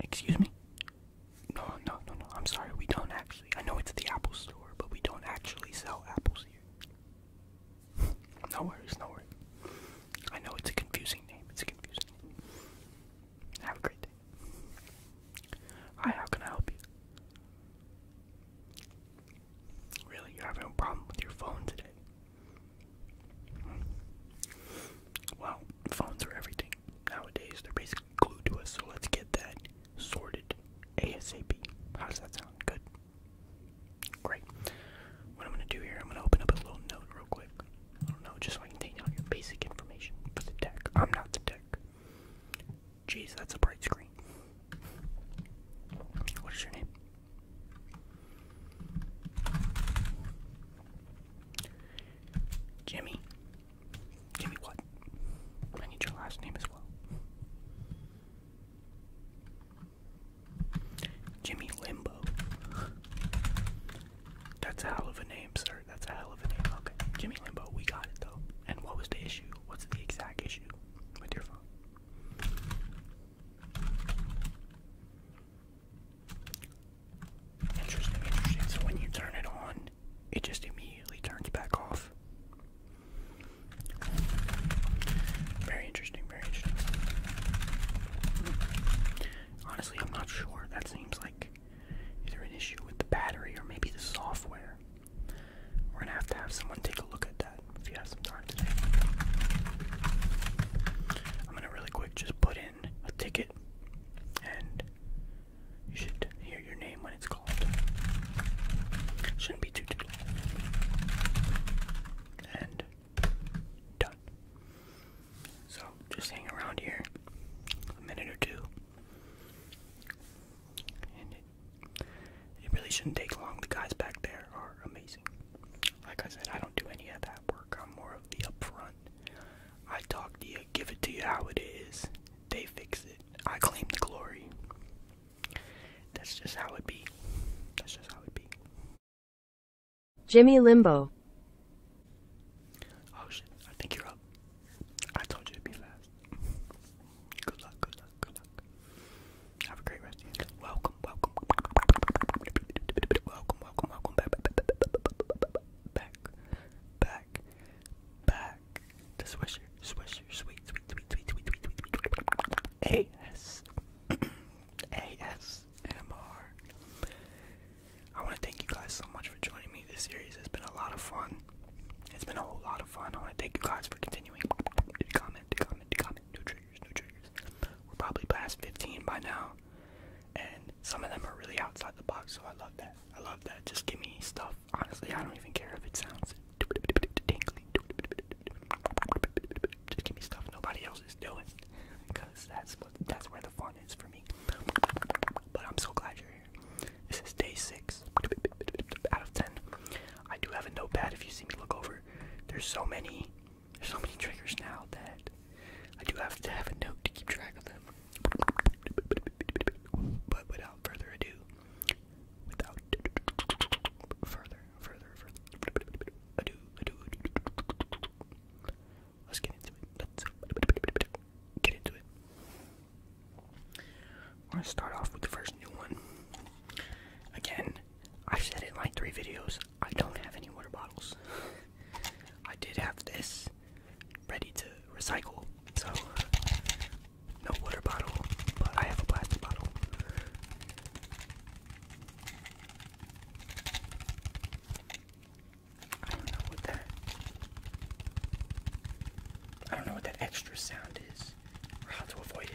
Excuse me? No, no, no, no. I'm sorry. We don't actually. I know it's the Apple store, but we don't actually sell apples here. no worries, no worries. I know it's a confusing name. It's a confusing name. Have a great day. Hi, how can I help you? Really, you're having a problem with your phone today? Well, phones are everything nowadays. They're basically glued to us, so let's get that sorted ASAP. How does that sound? Good. Great. What I'm gonna do here, I'm gonna open up a little note real quick. I don't know, just so I can take down your basic information for the deck. I'm not the deck. Jeez, that's a bright screen. What is your name? Jimmy. Jimmy what? I need your last name as well. Jimmy Limbo. That's a hell of a name, sir. That's a hell of a name. Okay. Jimmy Limbo, we got it though. And what was the issue? What's the exact issue with your phone? Interesting, interesting. So when you turn it on, it just immediately turns back off. Very interesting, very interesting. Honestly, I'm not sure. That seems like like either an issue with the battery or maybe the software. We're gonna have to have someone take a look at that if you have some time today. I'm gonna really quick just put in a ticket and you should hear your name when it's called. Shouldn't be too too And done. So just hang around here a minute or two. it, really shouldn't take long. The guys back there are amazing. Like I said, I don't do any of that work. I'm more of the up front. I talk to you, give it to you how it is. They fix it. I claim the glory. That's just how it be. That's just how it be. Jimmy Limbo. Oh shit, I think you're up. I told you to be fast. Good luck, good luck, good luck. Have a great rest Welcome, welcome. Welcome, welcome, welcome back. Back, back, back. The Swisher, Swisher, sweet, sweet, sweet, sweet, sweet, sweet, sweet, sweet. I want to thank you guys so much for joining me. This series it has been a lot of fun. It's been a whole lot of fun. I want to thank you guys for continuing to comment, to comment, to comment. New triggers, new triggers. We're probably past 15 by now, and some of them are really outside the box, so I love that. I love that. Just give me stuff. Honestly, I don't even care if it sounds tingly. Just give me stuff nobody else is doing because that's that's where the fun is for me. But I'm so glad you're here. This is day six out of ten. I do have a notepad if you see me look over. There's so many there's so many triggers now that I do have to have a note to keep track of them. But without further ado, without further, further, further ado, ado, Let's get into it. Let's get into it. I'm gonna start off with the first new one. Again, I've said it in like three videos. I don't have any water bottles. I did have this ready to recycle, so no water bottle, but I have a plastic bottle. I don't know what that. I don't know what that extra sound is or how to avoid it.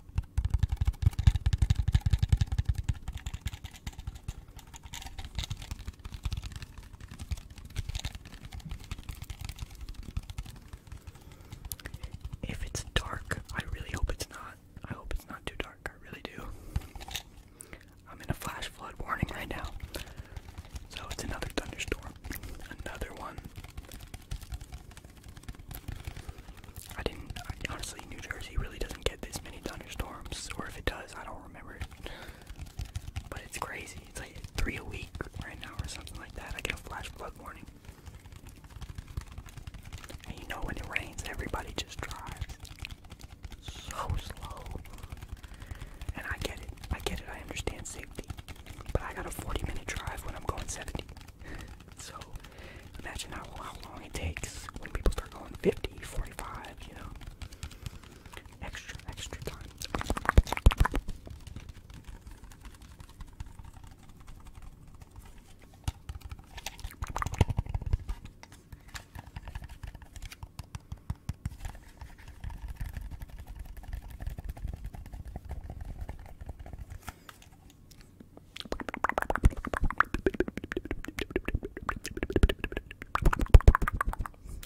If it's dark, I really hope it's not. I hope it's not too dark. I really do. I'm in a flash flood warning right now. So it's another thunderstorm. Another one. I didn't. honestly, New Jersey really doesn't get this many thunderstorms, or if it does, I don't remember. But it's crazy. It's like three a week right now, or something like that. I get a flash flood warning. And you know, when it rains, everybody just drives so slow. And I get it. I get it. I understand safety. But I got a 40 minute drive when I'm going 70. So Imagine how, how long it takes when people start going 50, 45, you know. Extra, extra time.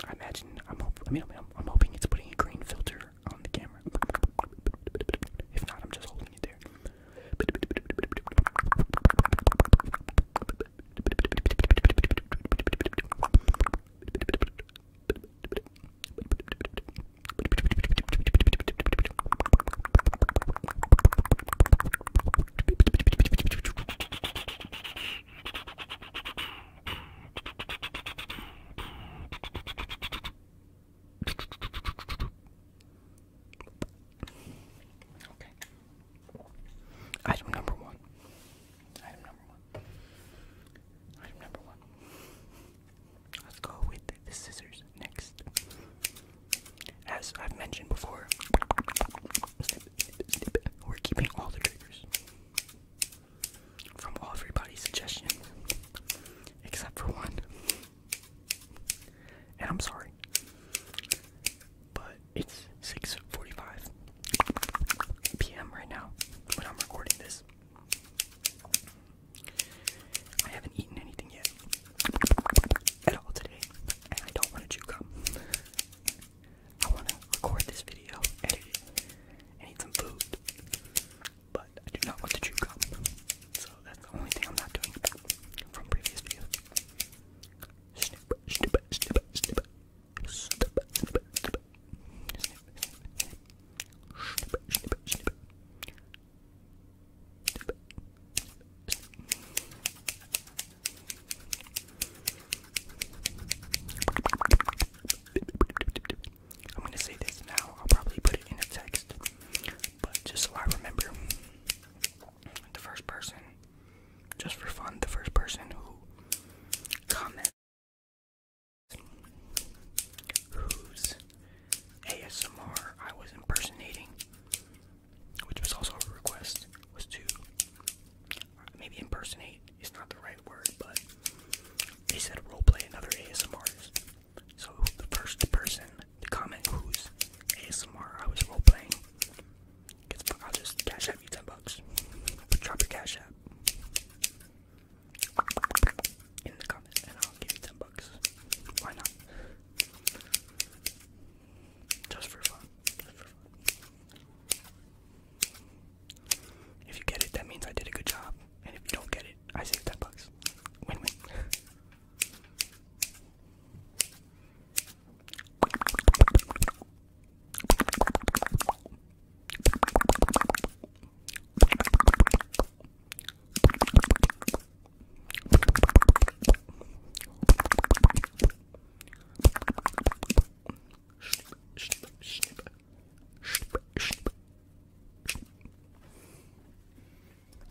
I imagine I'm hope, I mean I'm, I'm hoping it's putting a green filter on the camera. If not, I'm just holding it there. Okay. Item number one. Item number one. Item number one. Let's go with the scissors next as I've mentioned before, we're keeping all the triggers from everybody's suggestion except for one. And I'm sorry. But it's 6:45 p.m. right now when I'm recording this. I haven't eaten anything yet at all today, and I don't want to chew gum. I want to record this video, edit it, eat some food, but I do not want to chew gum. So that's the only thing I'm not doing from previous videos. I'm gonna say this now. I'll probably put it in a text, but just so I remember, the first person, just for fun, the first person who comments whose ASMR I was impersonating which was also a request, was to uh, maybe impersonate. It's not the right word, but they said roleplay another ASMR artist. So the first person to comment who's ASMR I was roleplaying gets. I'll just cash out you ten bucks. Drop your cash out in the comments, and I'll give you ten bucks. Why not? If you get it, that means I did a good job. And if you don't get it, I saved 10 bucks. Win win.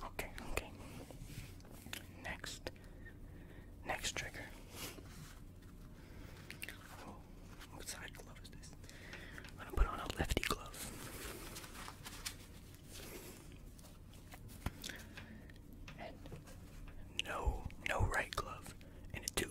Okay, okay. Next, next trigger. Oh, what side glove is this? I'm gonna put on a lefty glove. And no, no right glove in a tube.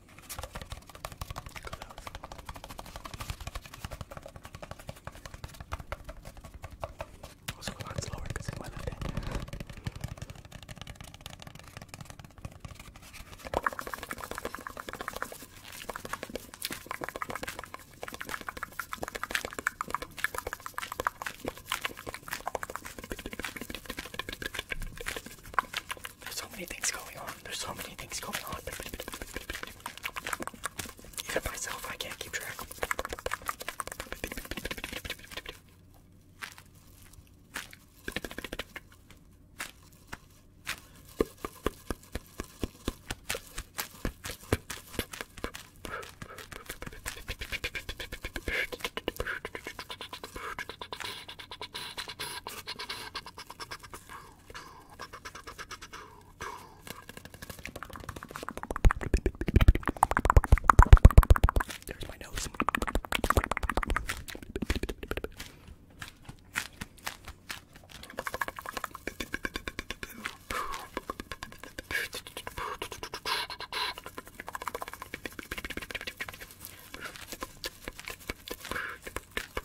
Also go a lot slower because it's my left hand. There's so many things going on. There's so many things going on. Even myself, I can't keep track. There's my nose.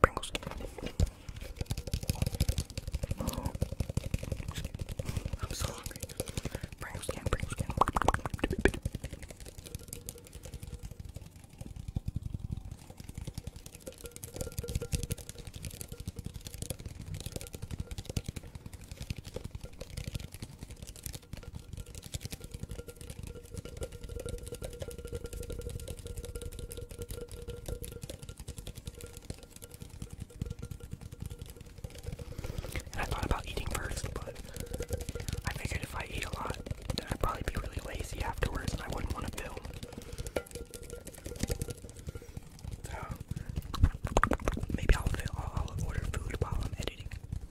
Pringles. I'm so hungry. Pringles can, Pringles can. I thought about eating first, but I figured if I eat a lot, then I'd probably be really lazy afterwards and I wouldn't want to film. So, maybe I'll order food while I'm editing.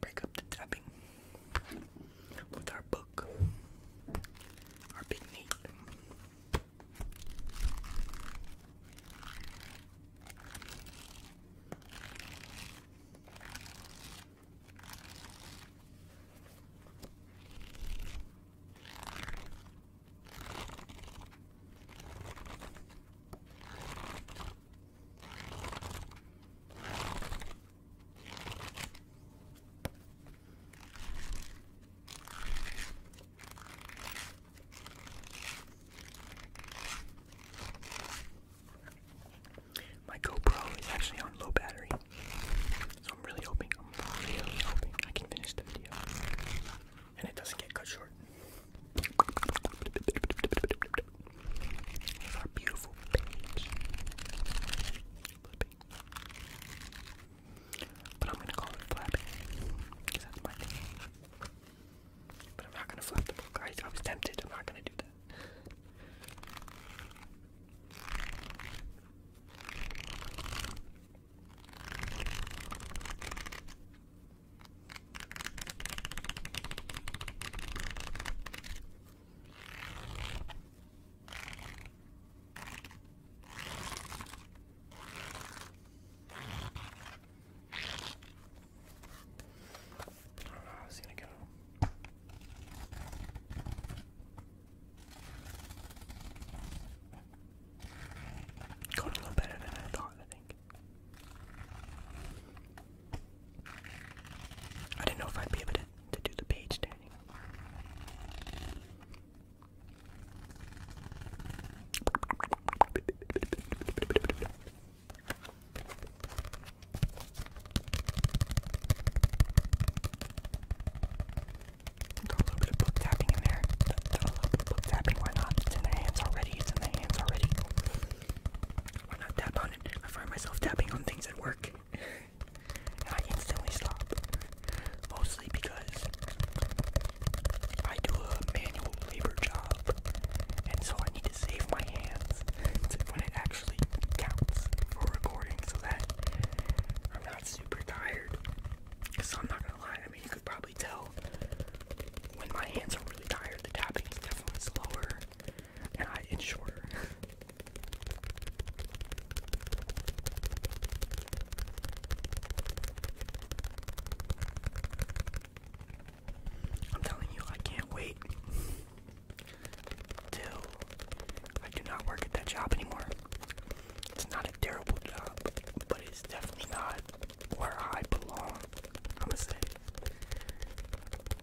break up the tapping with our book, our big meat. My GoPro is actually on low battery, so I'm really hoping, I'm really hoping I can finish the video and it doesn't get cut short our beautiful page. Flipping. But I'm gonna call it flapping, because that's my thing. But I'm not gonna flap the book. I was tempted. I'm not gonna do that. I do gonna go. Got a little better than I thought, I think. I didn't know if I'd be able to, to do the page turning. Got a little bit of book tapping in there. Got a little bit of book tapping. Why not? It's in the hands already. It's in the hands already. Why not tap on it? I find myself tapping on things at work. I instantly stop. Mostly because I do a manual labor job. And so I need to save my hands when it actually counts for recording so that I'm not super tired. So I'm not gonna lie, I mean, you could probably tell when my hands are really tired, the tapping is definitely slower and I it's shorter. I'm telling you, I can't wait till I do not work at that job anymore. It's not a terrible job, but it's definitely not where I belong. I'm gonna say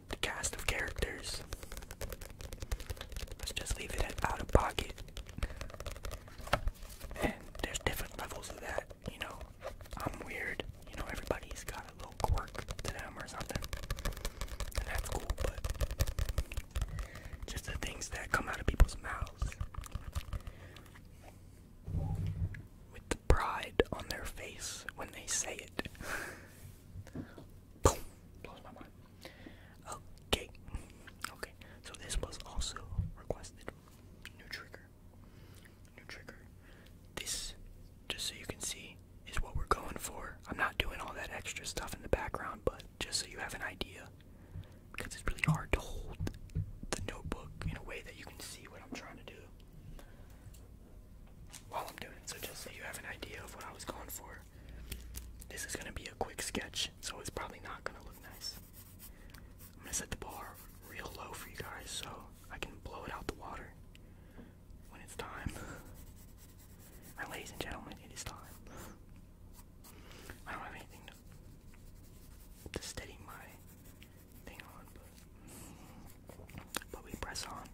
the cast of characters. Let's just leave it out of pocket. And there's different levels of that, you know. I'm weird, you know, everybody's got a little quirk to them or something. And that's cool, but just the things that come out of people's mouths pride on their face when they say it. Blows my mind. Okay. Okay. So this was also requested. New trigger. New trigger. This, just so you can see, is what we're going for. I'm not doing all that extra stuff in the background, but just so you have an idea. Because it's really hard to hold the notebook in a way that you can see what I'm trying to do while I'm doing it. So just so you have an idea of what I was going for. This is gonna be a quick sketch, so it's probably not gonna look nice. I'm gonna set the bar real low for you guys so I can blow it out the water when it's time. My ladies and gentlemen, it is time. I don't have anything to steady my thing on, but we press on.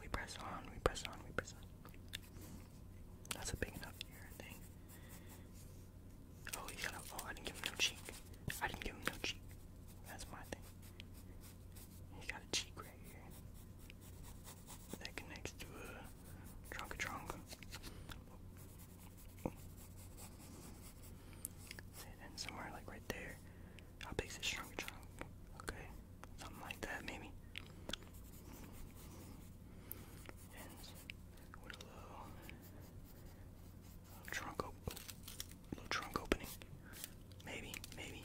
We press on, we press on, we press on. That's a big enough ear, I think. Oh, he got a, oh, I didn't give him no cheek. I didn't give him no cheek. That's my thing. He got a cheek right here. That connects to a trunk trunk. And somewhere like right there, how big's his trunk? Okay, something like that maybe. a little, trunk, op trunk opening, maybe, maybe.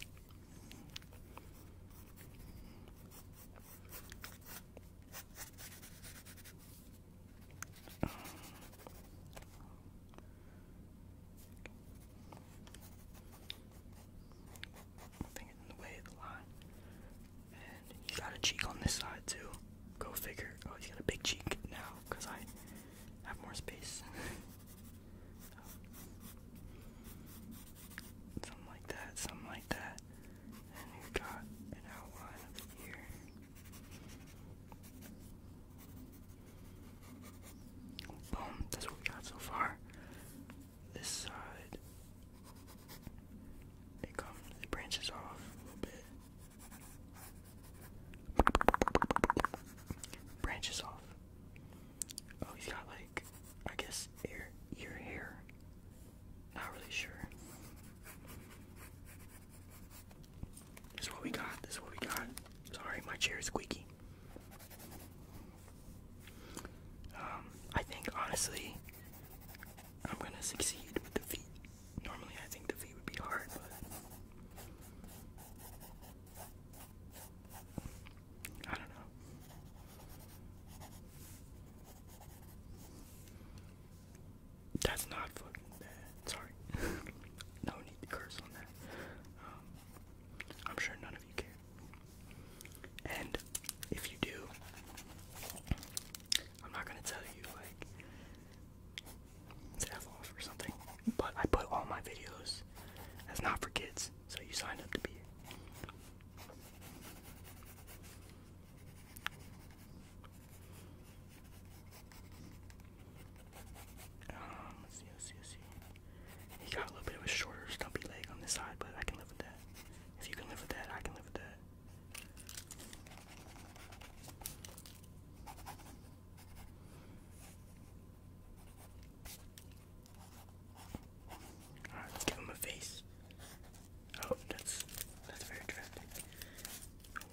Nothing in the way of the line. And he got a cheek on this side too. Go figure. Oh, he's got a big cheek now I have more space. Something like that, something like that. And we got an outline of the Boom, that's what we got so far. This side, it comes, it branches off a little bit. Branches off. Oh, he's got like, I guess, ear, ear hair. Not really sure. This is what we got. This is what we got. Sorry, my chair is squeaky. Um, I think honestly, I'm gonna succeed with the feet. Normally, I think the feet would be hard, but I don't know. That's not fucking bad. Sorry. no need to curse on that. Um, I'm sure none of you care. And if you do, I'm not gonna tell you like to F off or something. But I put all my videos as not for kids, so you signed up to be um, he got a little bit of a shorter, stumpy leg on this side, but I can live with that. If you can live with that, I can live with that. Alright, give him a face. Oh, that's that's very drastic. Oh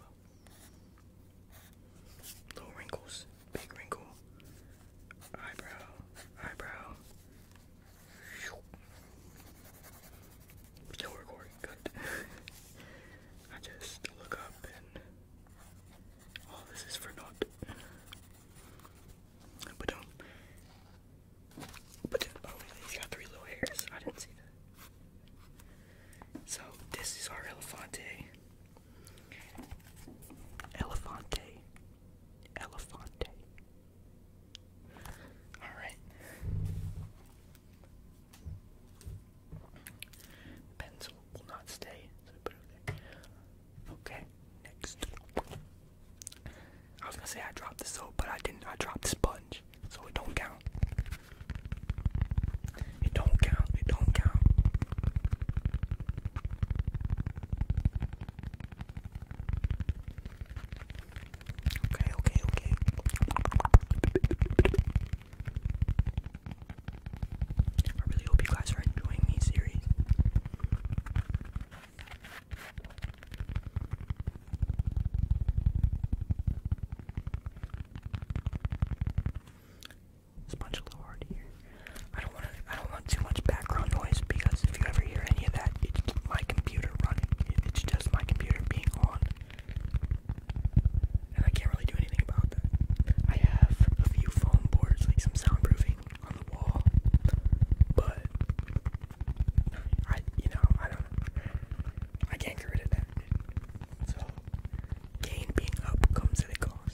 well. Little wrinkles big wrinkle, eyebrow, eyebrow. Still recording, good. I just look up and all this is for naught. But um, but oh, he's got three little hairs. I didn't see that. So this is our Elefante. Elefante. Elefante. Alright. Pencil will not stay, Okay, next. I was gonna say I dropped the soap, but I didn't. I dropped the sponge, so it don't count. It don't count. It don't count. Okay, okay, okay. I really hope you guys are enjoying these series. Let's punch a little here. I don't want I don't want too much background noise because if you ever hear any of that, it's my computer running. It's just my computer being on, and I can't really do anything about that. I have a few foam boards, like some soundproofing on the wall, but I, you know, I don't, I can't get rid of that. So gain being up comes at a cost.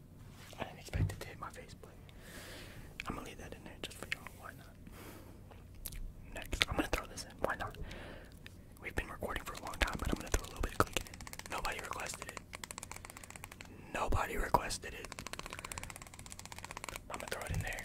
I didn't expect it to hit my face, but I'm gonna leave that in there just for y'all. Why not? Next, I'm gonna throw this in. Why not? We've been recording for a long time, but I'm gonna throw a little bit of clicking Nobody requested it. Nobody requested it. I'm gonna throw it in there.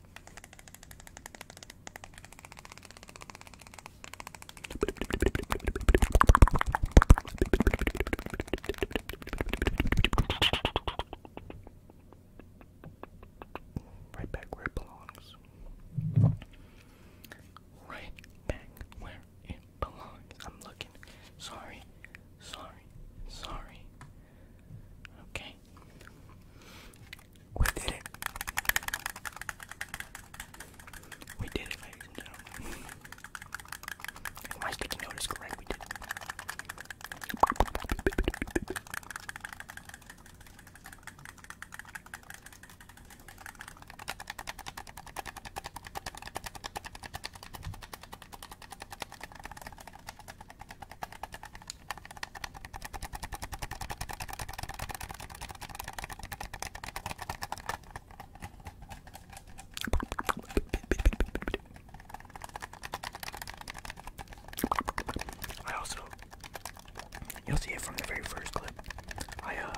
Right back where it belongs. Right back where it belongs. I'm looking. Sorry. Sorry. Sorry. Okay. We did it. We did it, ladies and gentlemen. If my correct, we did it. I also, you'll see it from the very first clip. I uh,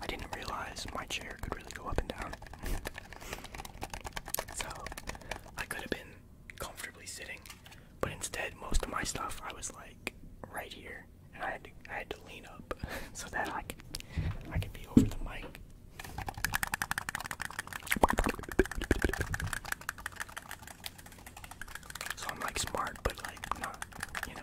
I didn't realize my chair could really go up and down, so I could have been comfortably sitting but instead, most of my stuff I was like right here, and I had to I had to lean up so that I could I could be over the mic. So I'm like smart, but like not, you know.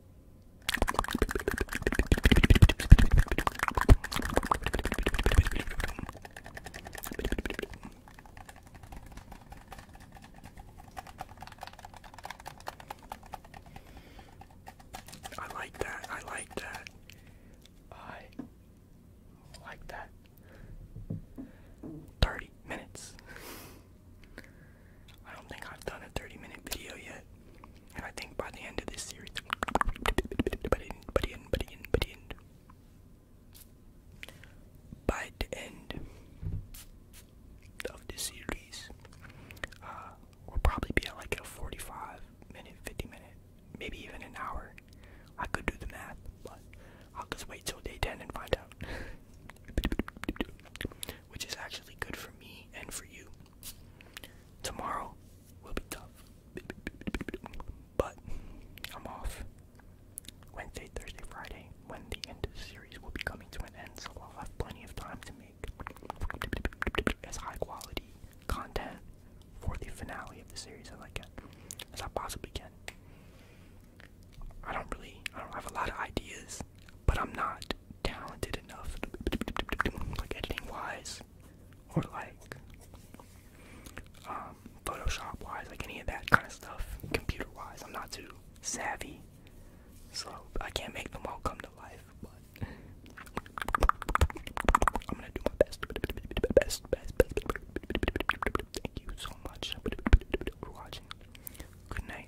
I like that. I like that. I like that. 30 minutes. I don't think I've done a 30 minute video yet. And I think by the end of this series, by the end of the series, uh, we'll probably be at like a 45 minute, 50 minute, maybe even an hour. I could do the math, but I'll just wait till day 10 and find out. Which is actually good for me and for you. Tomorrow will be tough. But I'm off. Wednesday, Thursday, Friday, when the end of the series will be coming to an end, so I'll have plenty of time to make as high quality content for the finale of the series as I can, as I possibly can. I don't really, I don't have a lot of ideas is, but I'm not talented enough, like editing wise, or like um, Photoshop wise, like any of that kind of stuff, computer wise. I'm not too savvy, so I can't make them all come to life, but I'm gonna do my best. Best, best, best. Thank you so much for watching. Good night.